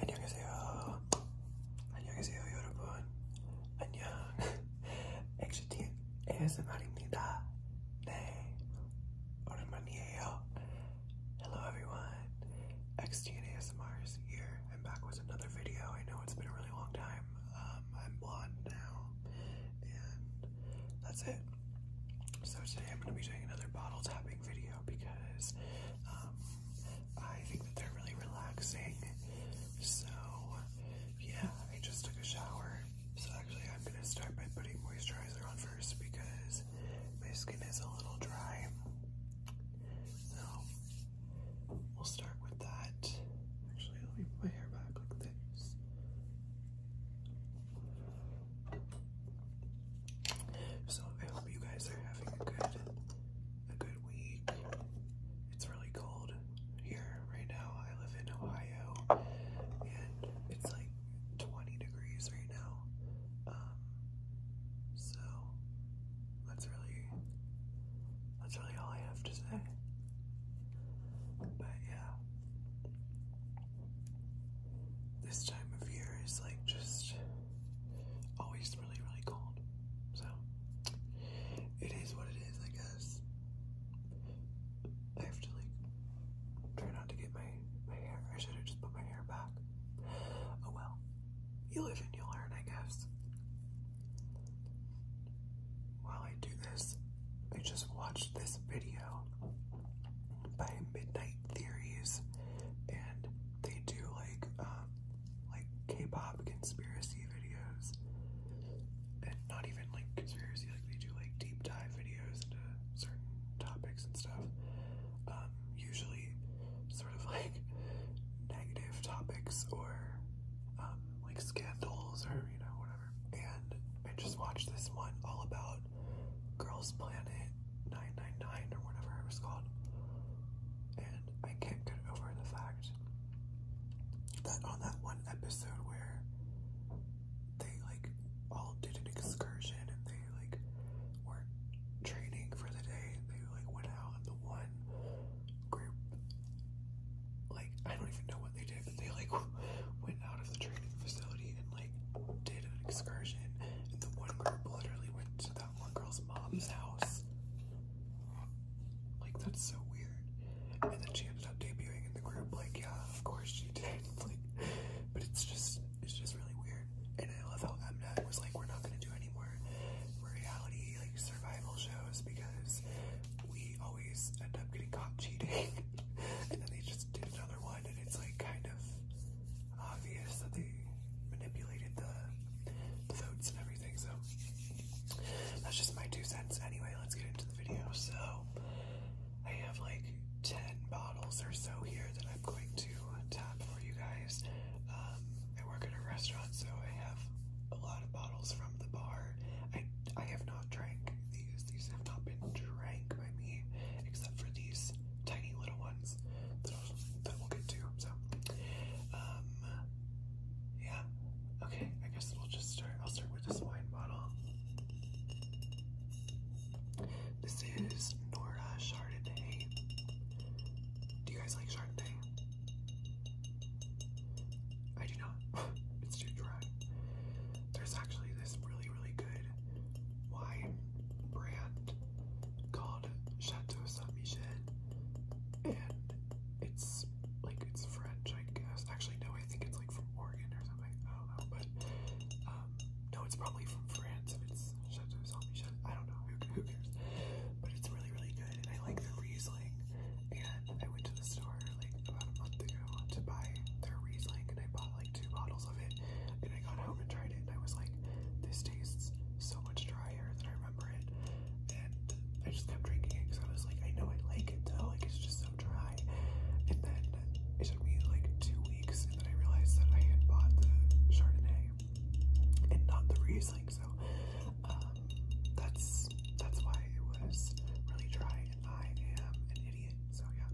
안녕하세요. 안녕하세요, 여러분. 안녕. 엑시티 ASMR입니다. 네. 오랜만이에요. Hello everyone. XT and ASMR here. I'm back with another video. I know it's been a really long time. Um, I'm blonde now, and that's it. So today I'm going to be doing another bottle tapping video because um, I think that they're really relaxing. So yeah, I just took a shower. So actually, I'm going to start by putting moisturizer on first because my skin is a little dry. So We'll start with that. Actually, let me put my hair back like this. So I hope you guys are having a good a good week. It's really cold here right now. I live in Ohio and it's like 20 degrees right now. Um, so that's really that's really all I have to say. But yeah. This time of year is like just always really, really cold. So it is what it is, I guess. I have to like try not to get my my hair. I should have just put my hair back. Oh well you live and you learn, I guess. While I do this, I just watched this video by Midnight Theories, and they do like um, like K-pop conspiracy videos, and not even like conspiracy, like they do like deep dive videos into certain topics and stuff. Um, usually, sort of like negative topics or um, like scandals or you know whatever. And I just watched this one all about Girls Planet 999 or whatever it was called, and I can't get over the fact that on that one episode where they like all did an excursion and they like were training for the day, they like went and the one group like I don't even know what they did, but they like went out of the training facility and like did an excursion and the one group literally went to that one girl's mom's house. Like that's so weird. And then she ended up debuting in the group, like, yeah, of course she did. Like but it's just it's just really weird. And I love how MNAT was like, we're not gonna do any any reality like survival shows because we always end up getting caught cheating and then they just did another one and it's like kind of obvious that they manipulated the, the votes and everything so that's just my two cents anyway let's get into the video so I have like 10 bottles or so here that I'm going to tap for you guys. Um, I work at a restaurant, so I have a lot of bottles from the bar. I I have not drank these. These have not been drank by me, except for these tiny little ones that we'll get to. So, um, yeah. Okay, I guess we'll just start. I'll start with this wine bottle. This is Nora Chardonnay. Do you guys like Shark Day? I do not. it's too dry. There's actually this really, really good wine brand called Chateau Saint Michel, and it's like it's French, I guess. Actually, no, I think it's like from Oregon or something. I don't know, but um, no, it's probably from France, and it's it's Chateau Zombie Chateau. I don't know. Who, who cares? But it's really, really good. And I like the Riesling. And I went to the store like about a month ago to buy their Riesling. And I bought like two bottles of it. And I got home and tried it. And I was like, this tastes so much drier than I remember it. And I just kept drinking it because I was like, I know I like it though. Like it's just so dry. And then it took me like two weeks. And then I realized that I had bought the Chardonnay and not the Riesling. So um, that's that's why it was really dry, and I am an idiot. So yeah.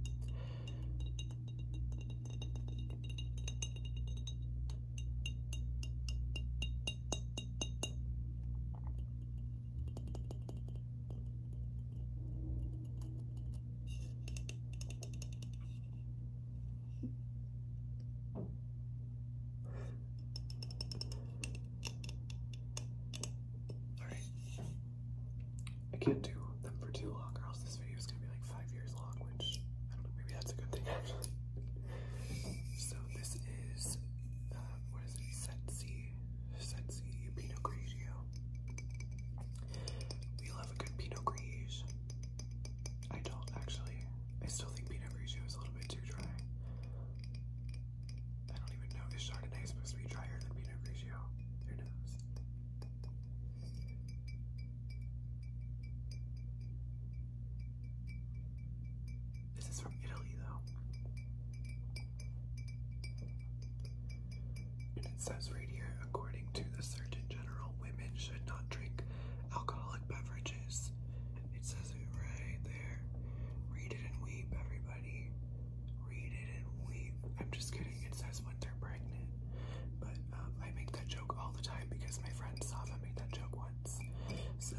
Alright. I can't do them for too long, or else this video is gonna be like five years long, which I don't know, maybe that's a good thing actually. So this is um, what is it? Sensi, Sensi Pinot Grigio. We love a good Pinot Grigio. I don't actually. I still think peanut grigio is a little bit too dry. I don't even know. Is Chardonnay supposed to be drier than Pinot Grigio? Who knows? This is from Italy, though. And it says right here according to the Surgeon General, women should not drink alcoholic beverages. It says it right there. Read it and weep, everybody. Read it and weep. I'm just kidding. It says when they're pregnant. But um, I make that joke all the time because my friend saw made that joke once. So,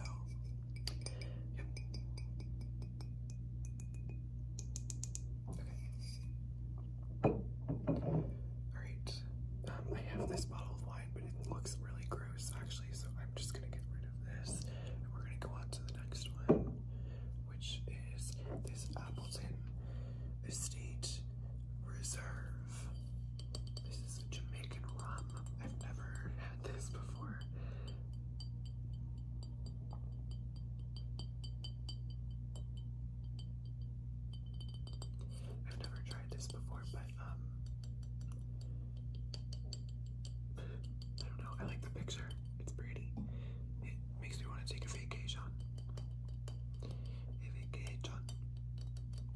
Alright, um, I have this bottle of wine, but it looks really gross actually, so I'm just gonna get rid of this and we're gonna go on to the next one, which is this Appleton Estate Reserve. This is a Jamaican rum. I've never had this before. I've never tried this before, but um, I don't know. I like the picture. It's pretty. It makes me want to take a vacation. A vacation.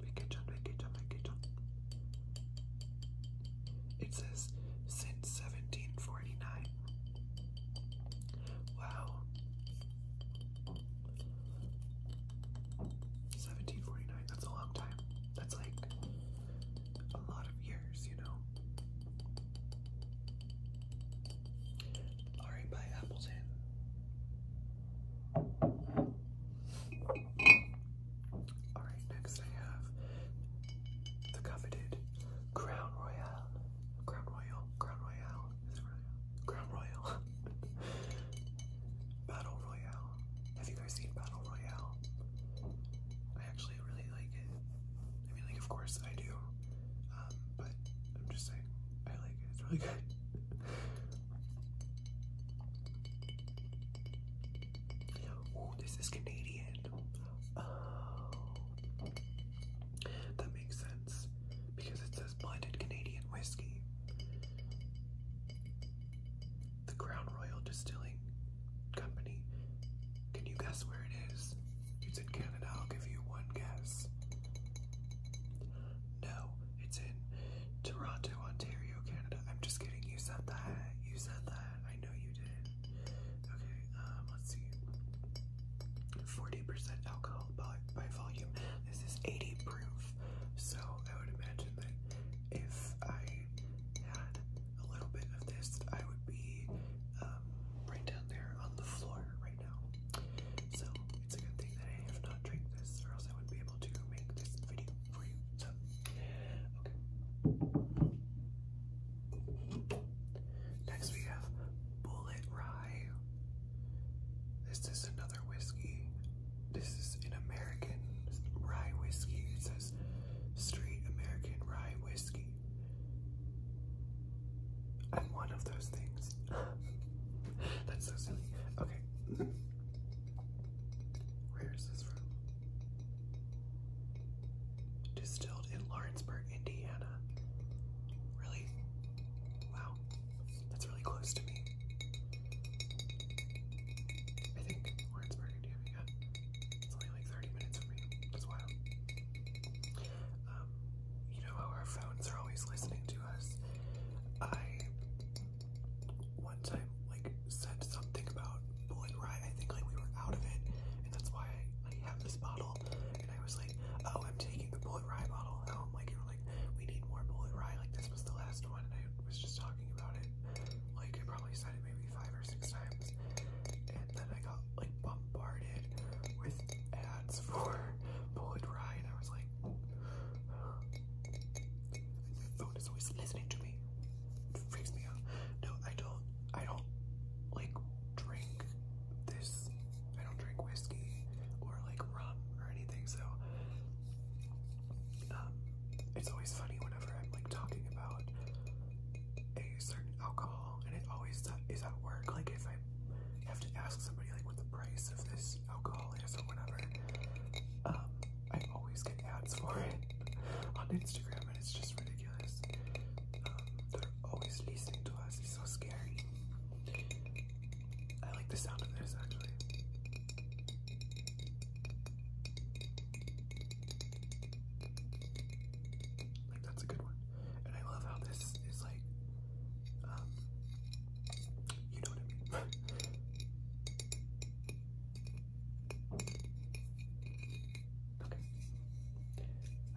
Vacation, vacation, vacation. It says since 1749. Wow. Seventeen forty nine. That's a long time. That's like a lot of years, you know. All right, bye, Appleton. All right, next I have the coveted Crown Royale. Crown Royal, Crown Royale. It's Royale. Battle Royale. Have you guys seen Battle Royale? I actually really like it. I mean, like, of course I do. Um, but I'm just saying, I like it. It's really good. Oh, this is Canadian. Oh. That makes sense because it says blended Canadian whiskey. The Crown Royal Distilling Company. Can you guess where it is? It's in Canada. I'll give you one guess. No, it's in Toronto, Ontario, Canada. I'm just kidding. You said that. You said that. I know you did. Okay, um, let's see. 40 40% alcohol by, by volume. This is 80 proof, so I would imagine that if I had a little bit of this, I would be um, right down there on the floor right now. So it's a good thing that I have not drank this, or else I would be able to make this video for you. okay. Next we have Bullet Rye. This is another whiskey. This is an American rye whiskey. It says straight American rye whiskey. I'm one of those things. That's so silly. Okay. Where is this from? Distilled in Lawrenceburg, Indiana. Really? Wow, that's really close to me. I think Lawrenceburg, Indiana, yeah. It's only like 30 minutes from me. That's wild. Um, you know how our phones are always listening to us. I one time like said something about Blood Rye. I think like we were out of it, and that's why I, have this bottle. And I was like, oh, I'm taking the Blood Rye bottle home. Like it like, we need more bullet rye. Like, this was the last one, and I was just talking about it. Like, I probably said it maybe five or six times. And then I got, like, bombarded with ads for bullet rye, and I was like, my phone is always listening to me. It freaks me out. No, I don't, I don't, like, drink this. I don't drink whiskey or like rum or anything, so um, it's always funny whenever I'm like talking about a certain alcohol, and it always is at work. Like if I have to ask somebody like what the price of this alcohol is or whatever, um, I always get ads for it on Instagram, and it's just ridiculous. Um, they're always listening to us. It's so scary. I like the sound of this actually. Like that's a good one. And I love how this is like um you know what I mean. okay.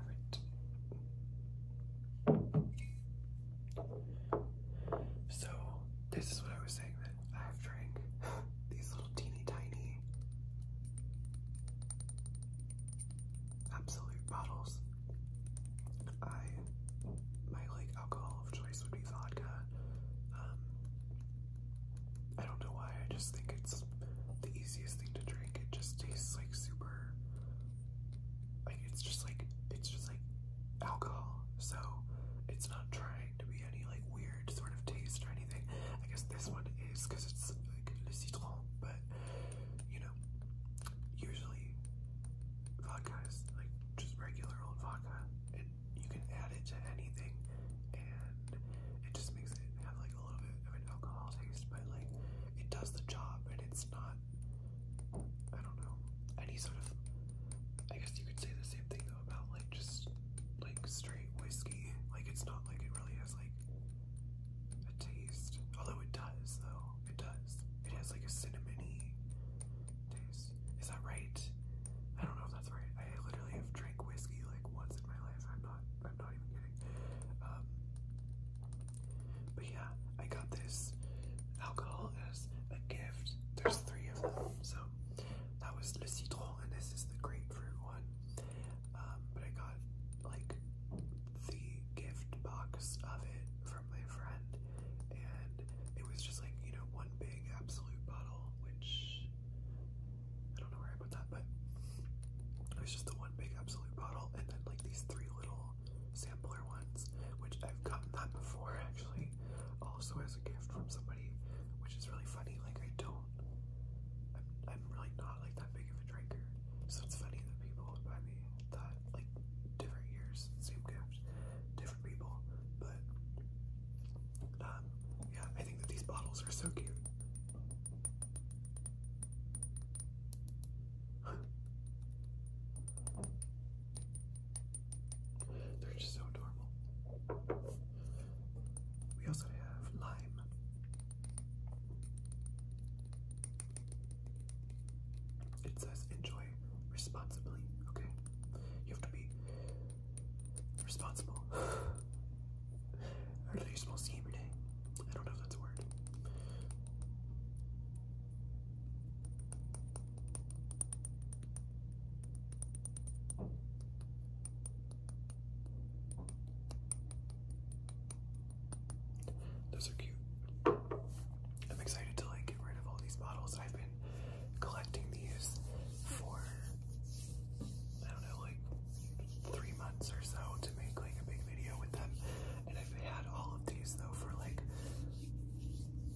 Alright. So this is what I was saying that I've drank these little teeny tiny absolute bottles. I my like alcohol of choice would be vodka. Um I don't know why, I just think it's the easiest thing to drink. It just tastes like super like it's just like it's just like alcohol. So it's not trying to be any like weird sort of taste or anything. I guess this one is because it's like le citron, but you know, usually vodka is like just regular old vodka, and you can add it to anything, and it just makes it have like a little bit of an alcohol taste, but like it does the job, and it's not I don't know, any sort of, I guess you could say the same thing though about like just like straight whiskey. Like it's not like it really has like a taste, although it does though, it does. It has like a cinnamony taste. Is that right? I don't know if that's right. I literally have drank whiskey like once in my life. I'm not, I'm not even um, but yeah, I got this alcohol as a gift. There's three of them, so that was Le Citron, and this is the grapefruit one. Um, but I got like the gift box of it from my friend, and it was just like you know one big absolute bottle, which I don't know where I put that, but it was just the one big absolute bottle, and then like these three little sampler ones, which I've gotten that before actually, also as a gift from somebody, which is really funny. Like I don't, I'm, really not like that big of a drinker, so it's funny that people would buy me that like different years, same gift, different people. But um, yeah, I think that these bottles are so cute. They're just so adorable. We also have lime. It says enjoy responsibly, okay? You have to be responsible. I literally smell steam every day. I don't know if that's a word. Those are cute. I'm excited to like get rid of all these bottles. I've been collecting these for I don't know, like three months or so to make like a big video with them. And I've had all of these though for like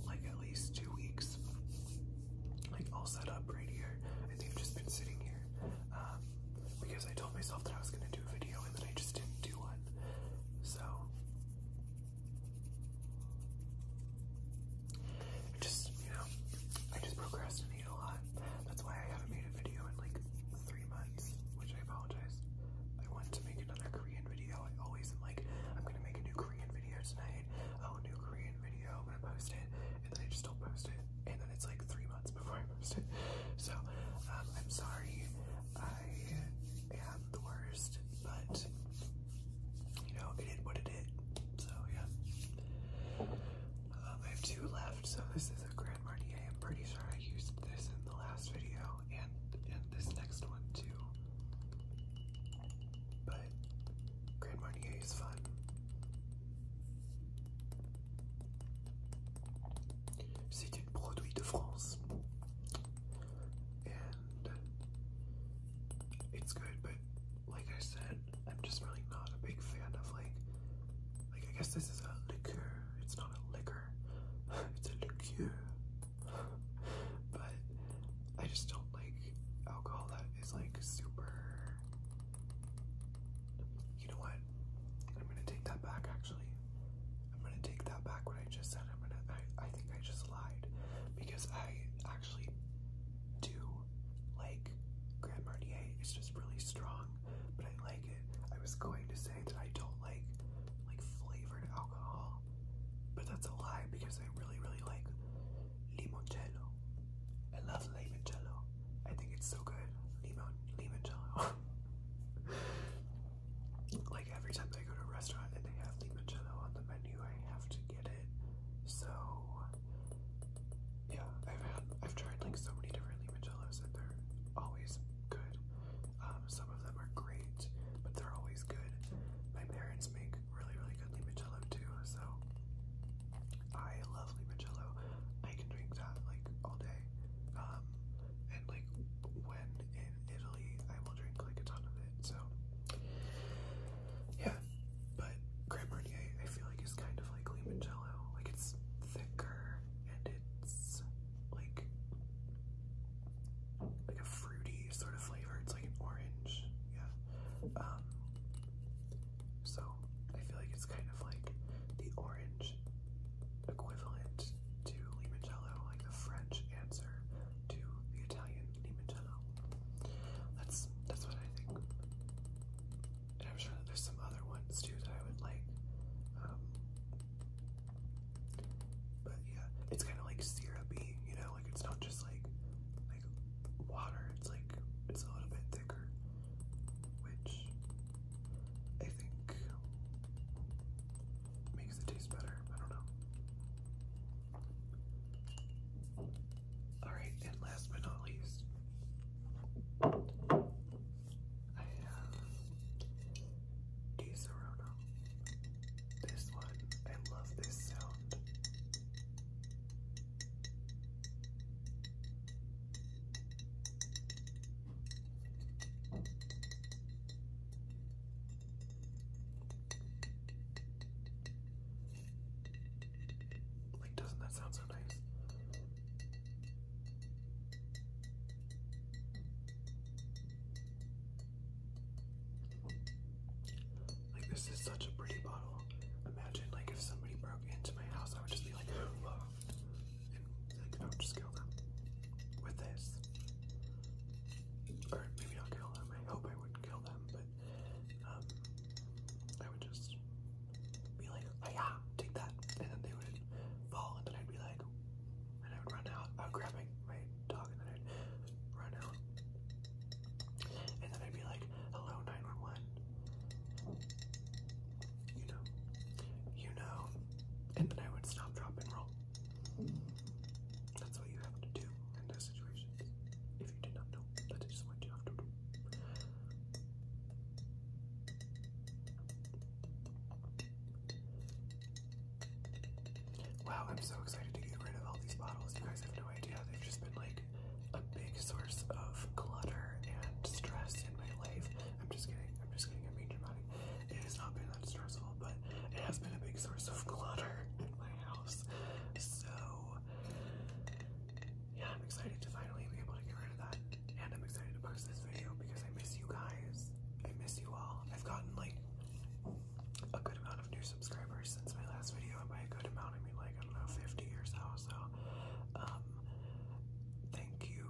like at least two weeks. Like all set up right here. I think i have just been sitting here. Um, because I told myself that I was gonna do a video and then I just didn't do one. So just you know, I just procrastinate a lot. That's why I haven't made a video in like three months which I apologize. I want to make another Korean video. I always am like, I'm gonna make a new Korean video tonight. Oh, new Korean video, I'm gonna post it, and then I just don't post it, and then it's like three months before I post it. So, um, I'm sorry. I am the worst, but you know, it did what it did. So yeah. Um, I have two left, so this is Grand Marnier. I'm pretty sure I used this in the last video and in this next one too. But Grand Marnier is fun. C'est une produit de France. And it's good, but like I said, I'm just really not a big fan of like like I guess this is a liqueur. It's not a liquor, it's a liqueur. but I just don't like alcohol that is like super. You know what? I'm gonna take that back actually. I'm gonna take that back what I just said. I'm gonna I, I think I just lied because I actually do like Grand Marnier. It's just really strong but I like it. I was going to say that I don't like like flavored alcohol, but that's a lie because I really, really like limoncello. I love limoncello. I think it's so good. Limon, limoncello. like every time I go to a restaurant and they have limoncello on the menu, I have to get it. So yeah, I've had, I've tried like so many different limoncellos and they're always good. Um, some of them are great, but they're always good. My parents make really, really good limoncello too, so I love limoncello. I can drink that like all day. Um, and like when in Italy, I will drink like a ton of it. So yeah, but Grand Marnier, I feel like is kind of like limoncello. Like it's thicker and it's like like a fruity sort of flavor. It's like an orange, yeah. Um, so I feel like it's kind of like the orange equivalent to limoncello, like the French answer to the Italian limoncello. That's that's what I think and I'm sure that there's some other ones too that I would like. Um, but yeah, it's kind of like syrupy, you know, like it's not just like like water. It's like it's a little bit thicker, which I think makes it taste better. I don't know. All right, and last but not least, I have uh, De This one, I love this sound. Like, doesn't that sound so nice? Like this is such a pretty bottle. Imagine like if somebody broke into my house, I would just be like, whoa. And like I would just kill them with this. Or maybe not kill them. I hope I would kill them, but um I would just be like, oh yeah, take that. And then they would fall, and then I'd be like, and I would run out. I would grab my, dog, and then I'd run out. And then I'd be like, hello, 911. You know, you know. And then I would stop, dropping roll. That's what you have to do in those situations. If you did not know, that is what you have to do. Wow, I'm so excited to get rid of all these bottles. You guys have no idea. They've just been like a big source of clutter and stress in my life. I'm just kidding. I'm just kidding. I'm being dramatic. It has not been that stressful, but it has been a big source of clutter in my house. So yeah, I'm excited to finally be able to get rid of that. And I'm excited to post this video because I miss you guys. I miss you all. I've gotten like a good amount of new subscribers since my last video. And by a good amount, I mean like, I don't know, 50 or so. So, um, thank you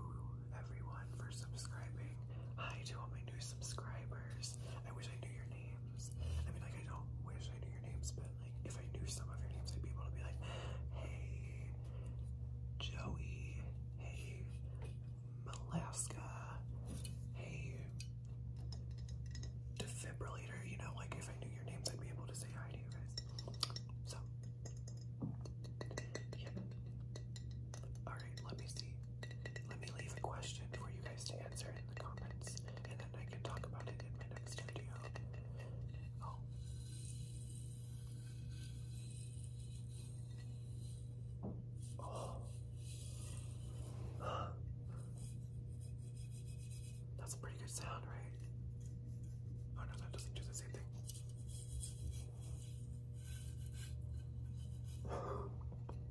everyone for subscribing. Hi to all my new subscribers. I wish I knew your names. I mean, like, I don't wish I knew your names, but like, if I knew some of your names, I'd be able to be like, hey, Joey. Hey, Malaska. Hey, Defibrillator. You know, like if I knew your names, I'd be able to say hi to you guys. So, All right, let me see. Let me leave a question for you guys to answer in the comments, and then I can talk about it in my next video. Oh. Oh. That's a pretty good sound, right? Oh no, that doesn't do the same thing.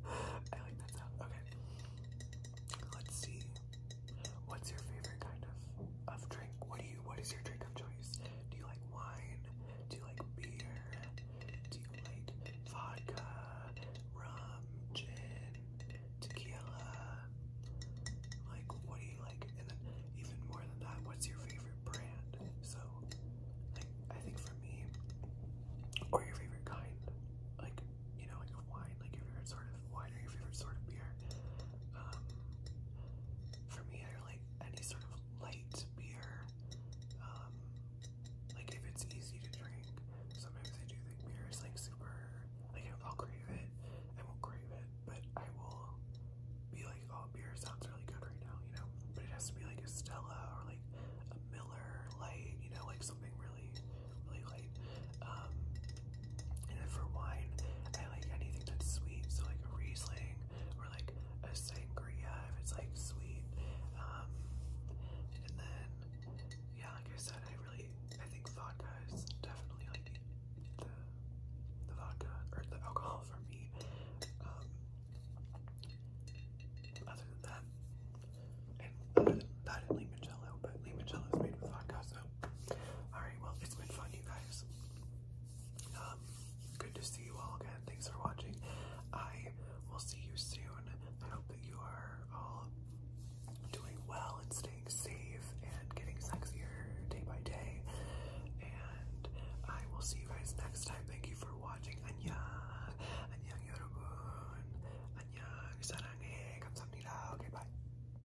I like that sound. Okay. Let's see. What's your favorite kind of of drink? What do you what is your drink of choice? Do you like wine? Do you like beer? Do you like vodka, rum, gin, tequila? Like what do you like? And then even more than that, what's your favorite brand? So like I think for me or your favorite kind, like you know, like wine, like your favorite sort of wine or your favorite sort of beer. Um, for me, I like any sort of light beer. Um, like if it's easy to drink, sometimes I do think beer is like super. Like I'll crave it, I won't crave it, but I will be like, oh, beer sounds really good right now, you know. But it has to be like a Stella or like a Miller Light, you know, like something really, really light. Um, and then for wine, I like anything that's sweet, so like a Riesling or like a sangria if it's like sweet. Um, and then, yeah, like I said, I really, I think vodka is definitely like the, the vodka or the alcohol for me. Um, other than that, and limoncello, but limoncello is made with vodka, so Alright, well, it's been fun, you guys. good to see you all again. Thanks for watching. I will see you soon. I hope that you are all doing well and staying safe and getting sexier day by day. And I will see you guys next time. Thank you for watching. 안녕. 안녕, 여러분. 안녕, 사랑해. 감사합니다. Okay, bye.